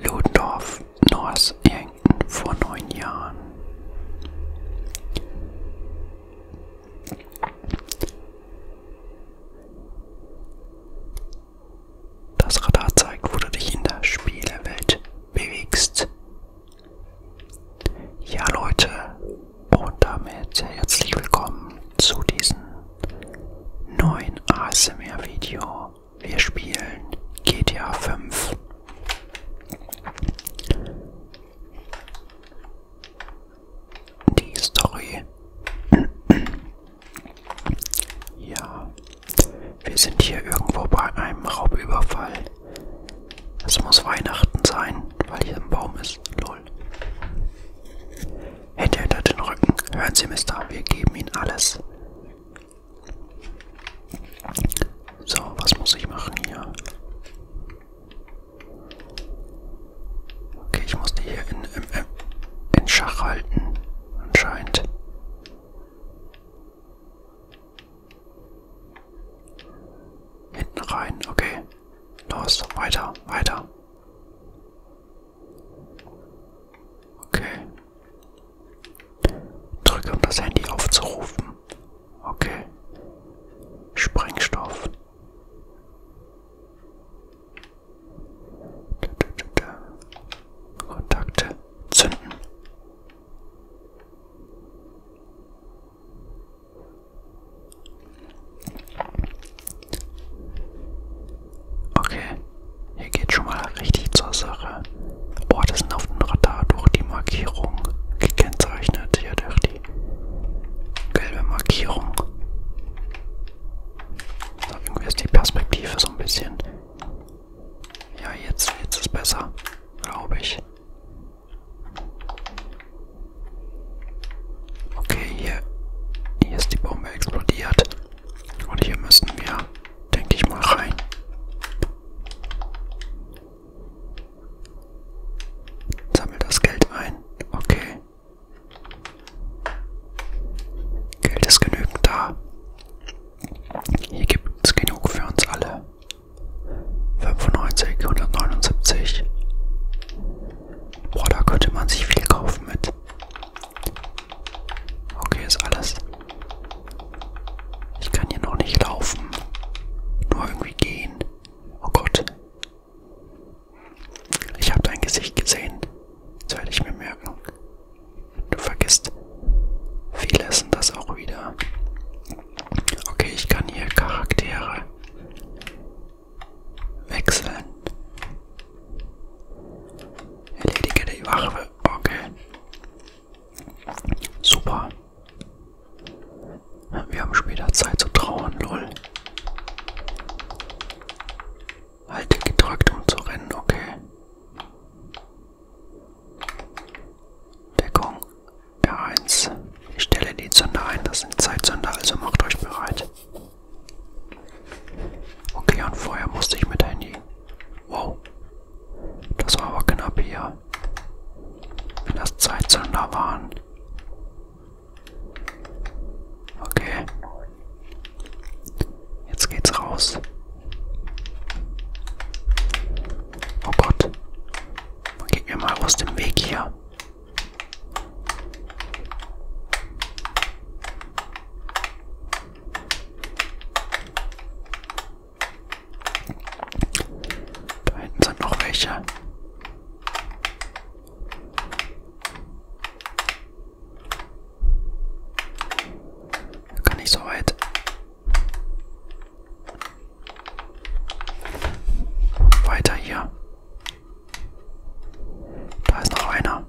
Ludendorff, North Yankton vor neun Jahren. Das Radar zeigt, wo du dich in der Spielewelt bewegst. Ja Leute, und damit herzlich willkommen zu diesem neuen ASMR-Video. Wir spielen GTA 5. Die Story. ja, wir sind hier irgendwo bei einem Raubüberfall. Es muss Weihnachten sein, weil hier ein Baum ist. Lol. Hände hinter den Rücken. Hören Sie, Mister, wir geben Ihnen alles. So, was muss ich machen hier? Okay, ich muss die hier in, in, in Schach halten, anscheinend. Hinten rein, okay. Los, weiter, weiter. Okay. Drücke, um das Handy aufzurufen. Okay. Sprengstoff. Da, da, da. Kontakte. Zünden. Okay, hier geht schon mal richtig zur Sache. Orte sind auf dem Radar durch die Markierung gekennzeichnet, hier durch die gelbe Markierung. So, irgendwie ist die Perspektive so ein bisschen. Ja, jetzt, jetzt ist besser, glaube ich. Okay, hier, hier ist die Bombe explodiert. Und hier müssen wir, denke ich mal, rein. Sammel das Geld ein. Okay. Geld ist genügend da. Hier gibt es genug für uns alle. 95, 179. Boah, da könnte man sich viel kaufen mit. Okay, ist alles. Ich kann hier noch nicht laufen. Nur irgendwie gehen. Oh Gott. Ich habe dein Gesicht gesehen. Das werde ich mir merken. Du vergisst vieles und das auch wieder. Okay, ich kann hier Charaktere wechseln. Erledige die Waffe. Okay. Super. Wir haben später Zeit zu trauern, lol. Halte gedrückt, um zu rennen, okay. Deckung R1. Ich stelle die Zünder ein, das sind Zeitsünder, also macht euch bereit. Okay, und vorher musste ich mit Handy. Wow. Das war aber knapp hier. Wenn das Zeitzünder waren. Okay. Jetzt geht's raus. Oh Gott. Man geht mir mal aus dem Weg hier. Da hinten sind noch welche. Kann ich so weit. Weiter hier. Da ist noch einer.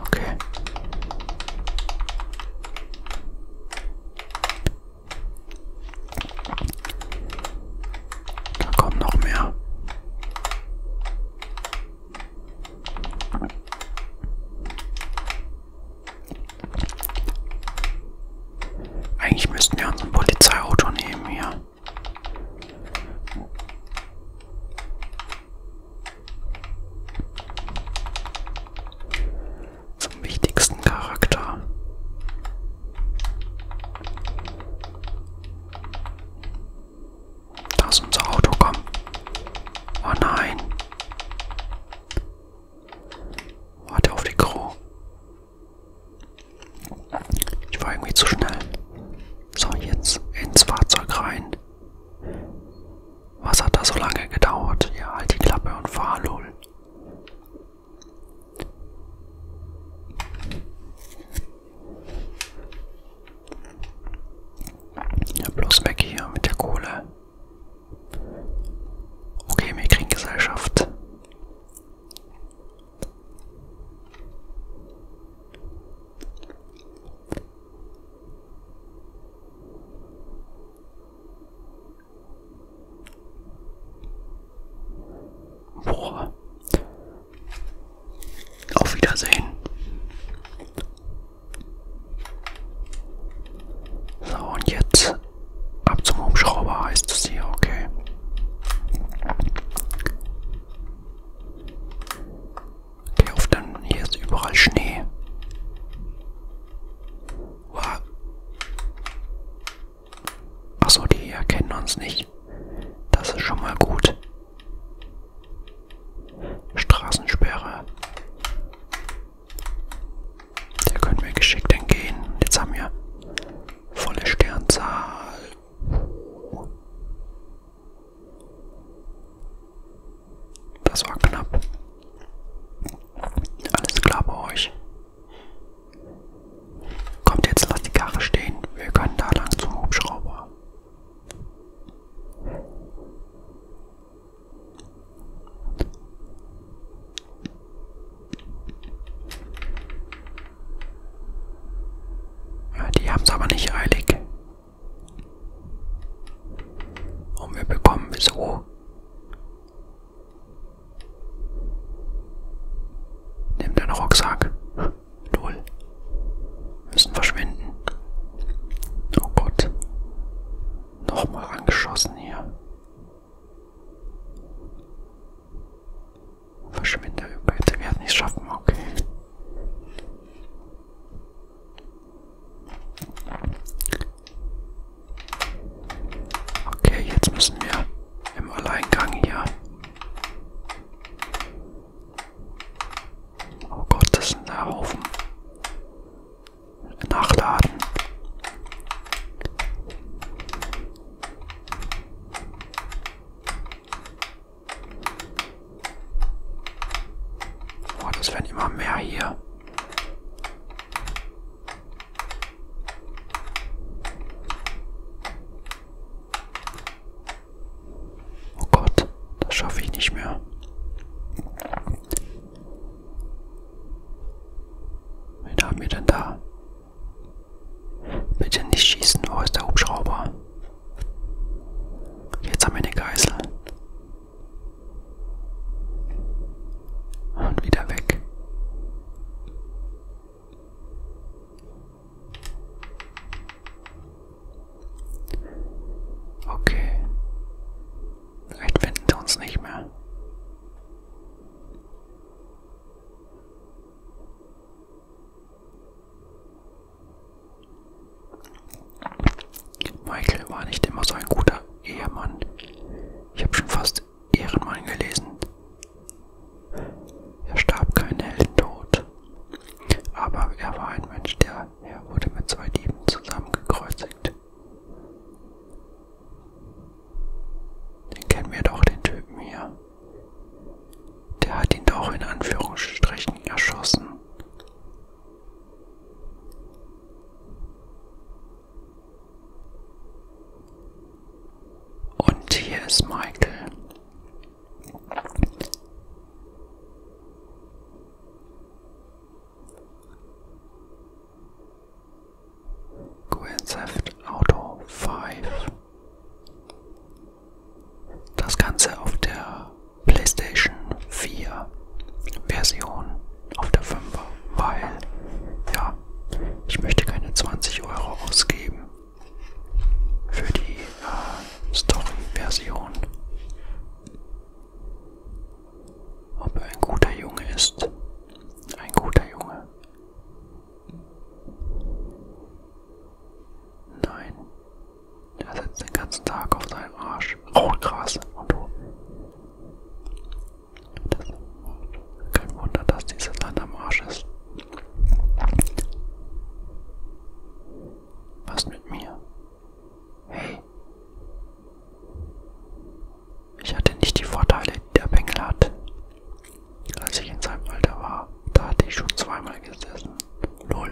Okay. Da kommen noch mehr. Eigentlich müssten wir uns ein Polizeiauto nehmen hier. Zum wichtigsten Charakter. Da ist unser Auto, komm. Oh nein. Warte auf die Crew. Ich war irgendwie zu schnell. So, jetzt ins Fahrzeug rein. Was hat da so lange gedauert? Ja, halt die Klappe und fahr, lol. Ja, bloß weg hier mit der Kohle. Okay, wir kriegen Gesellschaft. Boah. Auf Wiedersehen. So, und jetzt ab zum Hubschrauber heißt es hier, okay. Okay, auf dann. Hier ist überall Schnee. Wow. Achso, die erkennen uns nicht. Das ist schon mal gut. Straßensperre. Der können wir geschickt entgehen. Jetzt haben wir volle Sternzahl. Das war knapp. Alles klar bei euch. Kommt jetzt, lasst die Karre stehen. Wir können da lang zum Hubschrauber. Ja, die haben es aber nicht eilig. Und wir bekommen wieso? Nimm den Rucksack. Null. Müssen verschwinden. Oh Gott. Nochmal angeschossen hier. Verschwinde, bitte, wir werden es schaffen, okay. Okay, jetzt müssen wir im Alleingang hier. Oh Gott, das sind ein Haufen. Nachladen. Oh, das werden immer mehr hier. Oh Gott, das schaffe ich nicht mehr. Wen haben wir denn da? Bitte nicht schießen, wo ist der Hubschrauber? Jetzt haben wir eine Geißel. Und wieder weg. Okay. Vielleicht finden sie uns nicht mehr. Michael war nicht immer so ein guter Ehemann. Ich habe schon fast Ehrenmann gelesen. Er starb keinen Heldentod. Aber er war ein Mensch, der er wurde mit zwei Dieben zusammengekreuzigt. Den kennen wir doch, den Typen hier. Der hat ihn doch in Anführungsstrichen erschossen. Und hier ist Michael. Grand Theft Auto 5 das Ganze auf der PlayStation 4 Version, auf der 5 weil ja, ich möchte keine 20 Euro ausgeben für die äh, Story-Version. Ob er ein guter Junge ist, ein guter Junge. Nein. Er sitzt den ganzen Tag auf seinem Arsch. Rotgras und oben. Das, kein Wunder, dass dieses Land am Arsch ist. Was mit mir? Hey. Ich hatte nicht die Vorteile, die der Bengel hat. Als ich in seinem Alter war, da hatte ich schon zweimal gesessen. Lol.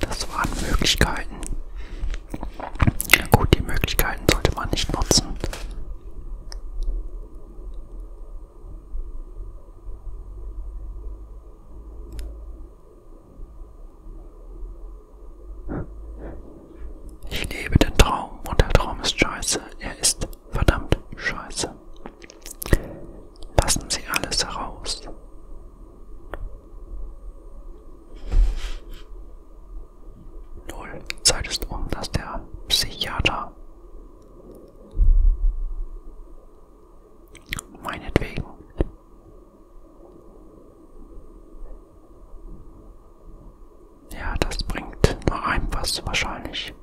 Das waren Möglichkeiten. Ja gut, die Möglichkeiten sollte man nicht nutzen. Ich lebe den Traum und der Traum ist scheiße. Er ist verdammt scheiße. Lassen Sie alles heraus. Null. Zeit ist um, dass der Psychiater meinetwegen ja, das bringt nur einem was wahrscheinlich.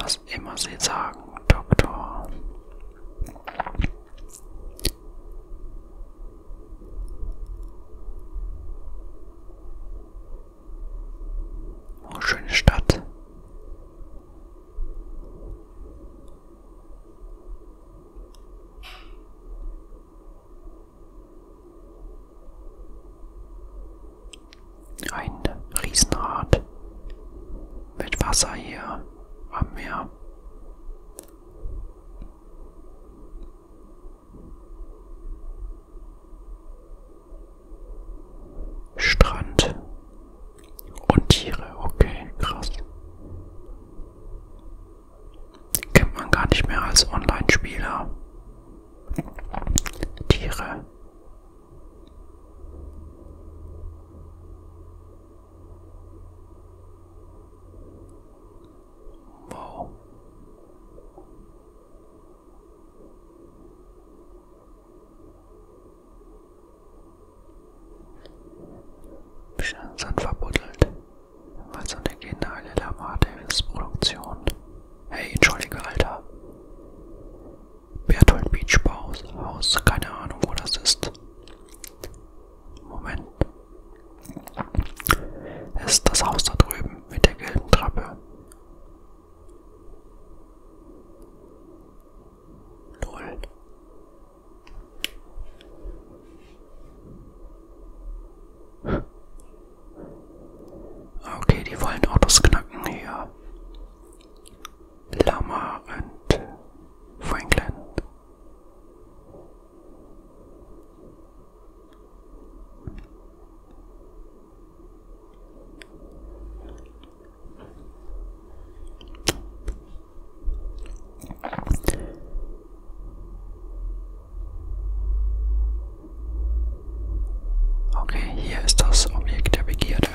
Was immer Sie sagen, Doktor. Oh, schöne Stadt. Ein Riesenrad mit Wasser hier am Meer. Strand und Tiere, okay, krass. Kennt man gar nicht mehr als Online-Spieler. Tiere. Wow. Bisschen Sand verbuddelt, weil so eine geniale Lamar-Davis-Produktion. Hey, entschuldige, Alter. Berthold Beach Baus, Haus, keine Ahnung, wo das ist. Moment. Es ist das Haus da drüben mit der gelben Treppe. Null. Okay, die wollen Autos knacken hier. Lama und Franklin. Okay, hier ist das Objekt der Begierde.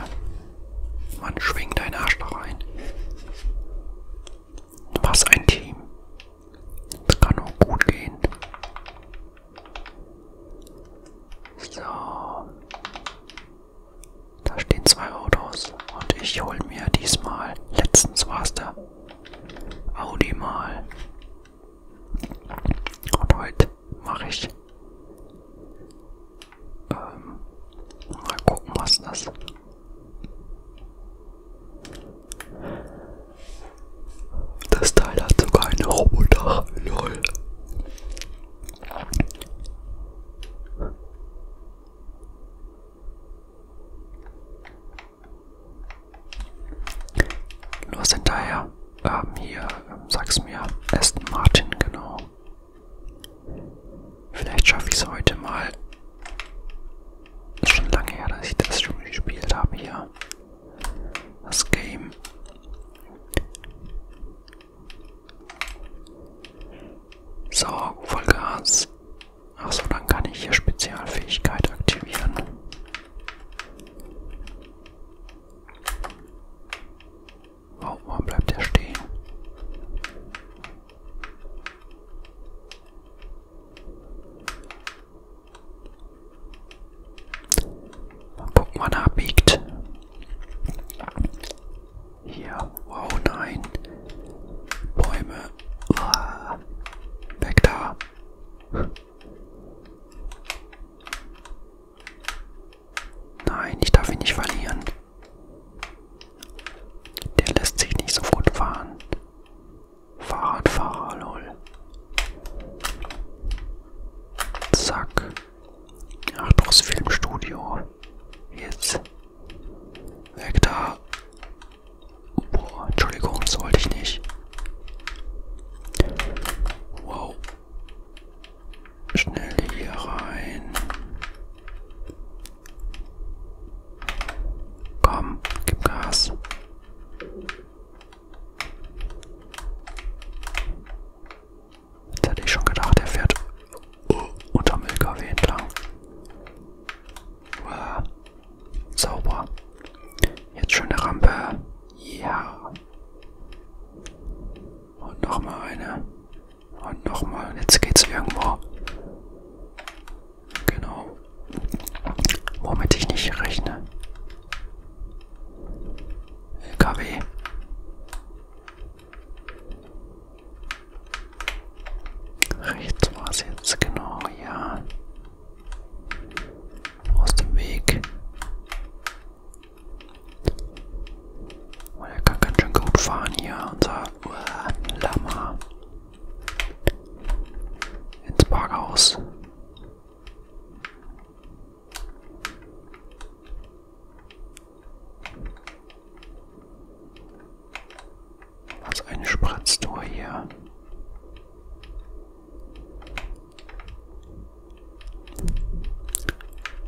Man schwingt deinen Arsch da rein. Was ein Team. Das kann auch gut gehen. So. Da stehen zwei Autos und ich hole mir diesmal, letztens war es der Audi mal. Und heute mache ich ähm, mal gucken, was das das Teil hat sogar eine Robodach, lol. Nur sind daher ähm, hier, ähm, sag's mir, Aston Martin, genau. Vielleicht schaffe ich es heute mal. Ist schon lange her, dass ich das schon gespielt habe hier. Das Game. So, Vollgas. Achso, dann kann ich hier Spezialfähigkeit aktivieren. Oh, warum bleibt er stehen? Mal gucken, wann er abbiegt. Hier, wow, nein. Bäume. Ah, weg da. Nein, ich darf ihn nicht verlieren. Der lässt sich nicht so gut fahren. Fahrradfahrer, lol. Zack. Ach, doch, das Filmstudio. Jetzt. Weg da. Boah, Entschuldigung, das wollte ich nicht. Wow. Schnell hier rein. Komm, gib Gas. Jetzt hätte ich schon gedacht, er fährt unterm LKW entlang. Wow. Sauber. Jetzt schöne Rampe. Ja. Und nochmal eine. Und nochmal. Jetzt geht's irgendwo. Genau. Womit ich nicht rechne. LKW. Rechts war es jetzt, genau, ja. Aus dem Weg. Und oh, er kann ganz schön gut fahren hier, unser uh, Lama. Ins Parkhaus. Was eine Spratztour hier.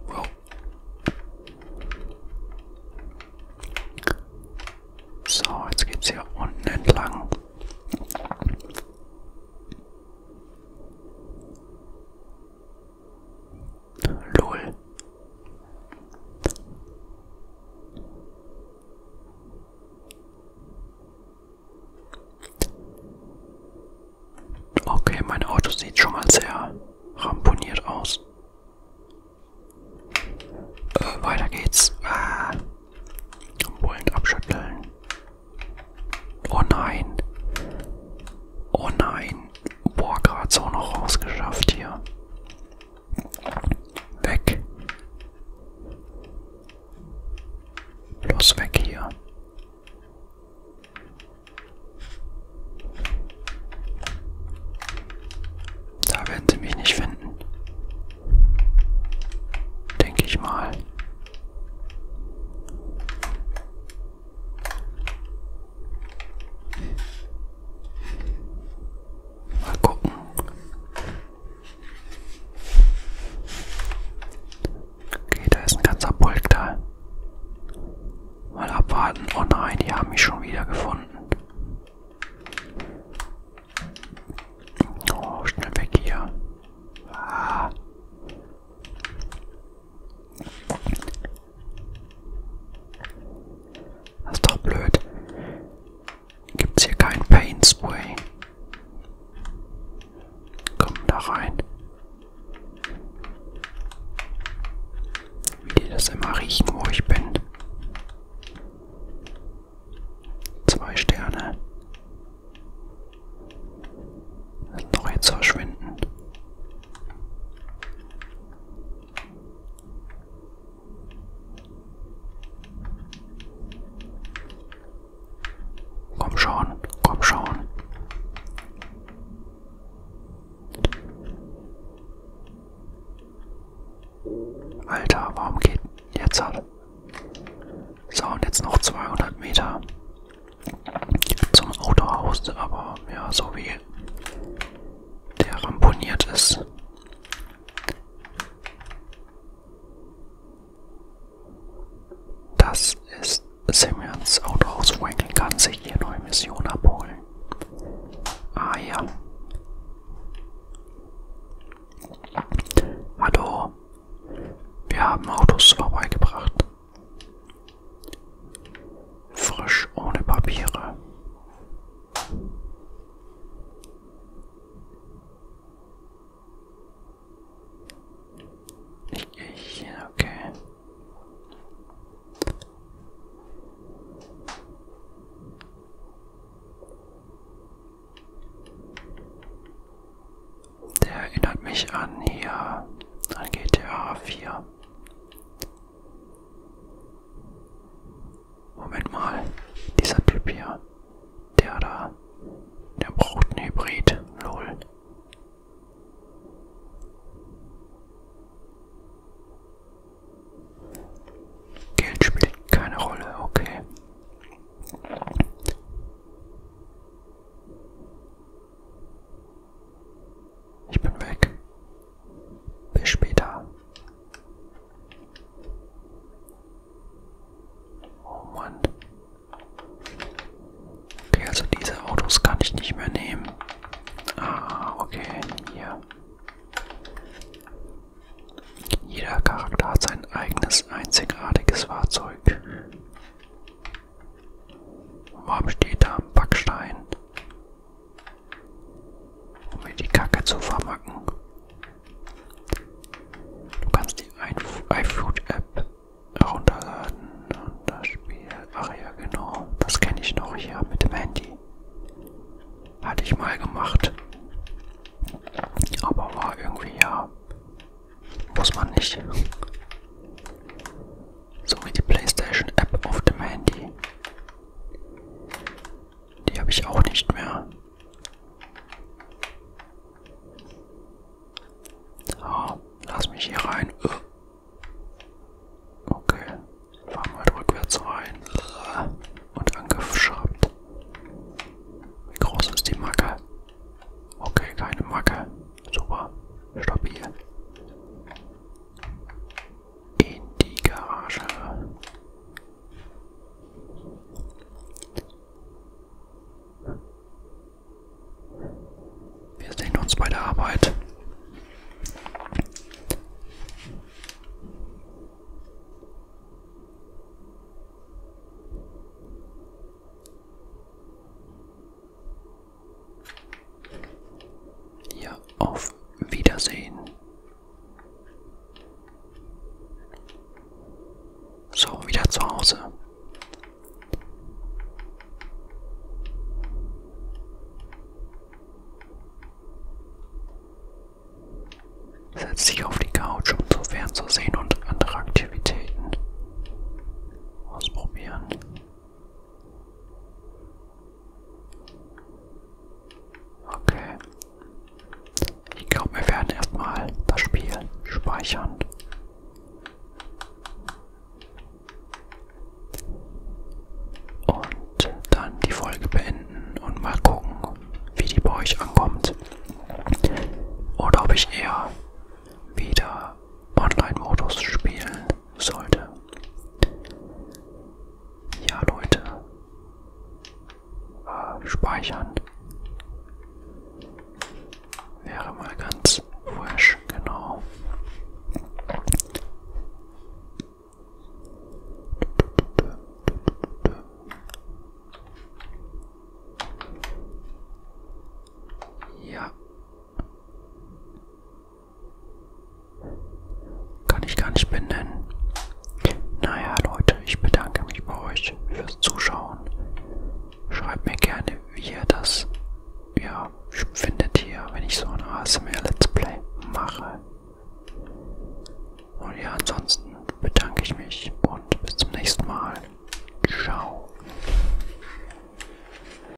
Wow. So, jetzt geht's hier unten entlang. Lol. Okay, mein Auto sieht schon mal sehr ramponiert aus. Äh, weiter geht's. Ah. Wollend abschütteln. Oh nein. Oh nein. Boah, gerade so noch rausgeschafft hier. Weg. Los weg hier. Da werden sie mich nicht finden. Denke ich mal. Mal gucken. Okay, da ist ein ganzer Pulk da. Mal abwarten. Oh nein, die haben mich schon wieder gefunden. Oh, schnell weg hier. Ah. Das ist doch blöd. Gibt's hier kein Paint Spray? Komm da rein. Wie die das immer riechen, wo ich bin. Zwei Sterne. Doch jetzt verschwinden. Komm schon, komm schon. Alter, warum geht jetzt halt? So, und jetzt noch 200 Meter zum Autohaus, aber ja, so wie der ramponiert ist. Das ist Simmons Autohaus. Franklin kann sich hier neue Mission abholen. Ah ja. Hallo. Wir haben Autos vorbeigebracht. Frisch ohne Papiere. Ich gehe hier, okay. Der erinnert mich an hier, an GTA 4. Moment mal, dieser Typ hier, der da, der braucht einen Hybrid, lol. Geld spielt keine Rolle, okay. Ich bin weg. Bis später. Oh Mann. Okay, also diese Autos kann ich nicht mehr nehmen. Ah, okay, hier. Jeder Charakter hat sein eigenes einzigartiges Fahrzeug. Warum steht da ein Backstein? Um mir die Kacke zu vermacken. Du kannst die iFood-App herunterladen und das Spiel. Ach ja, genau. Das kenne ich noch hier mit dem Handy. Hatte ich mal gemacht. Aber war irgendwie ja. Muss man nicht sowie die PlayStation App auf dem Handy. Die habe ich auch nicht mehr. So, lass mich hier rein. Äh. Okay, fahren wir halt rückwärts rein. Äh. Und Angriff schreibt. Wie groß ist die Macke? Okay, keine Macke. Super. Stabil in die Garage. Wir sehen uns bei der Arbeit. Ja, auf Wiedersehen. So, wieder zu Hause. Setz dich auf die Couch, um zu fernzusehen und andere Aktivitäten ausprobieren. Okay. Ich glaube, wir werden erstmal das Spiel speichern. Und dann die Folge beenden und mal gucken, wie die bei euch ankommt. Oder ob ich eher wieder Online-Modus spielen sollte. Ja, Leute. Äh, speichern. Wäre mal ganz frisch, genau. Ja. Kann ich gar nicht benennen. Naja, Leute, ich bedanke mich bei euch fürs Zuschauen. Schreibt mir gerne, wie ihr das ja, findet hier, wenn ich so ein ASMR-Let's Play mache. Und ja, ansonsten bedanke ich mich und bis zum nächsten Mal. Ciao.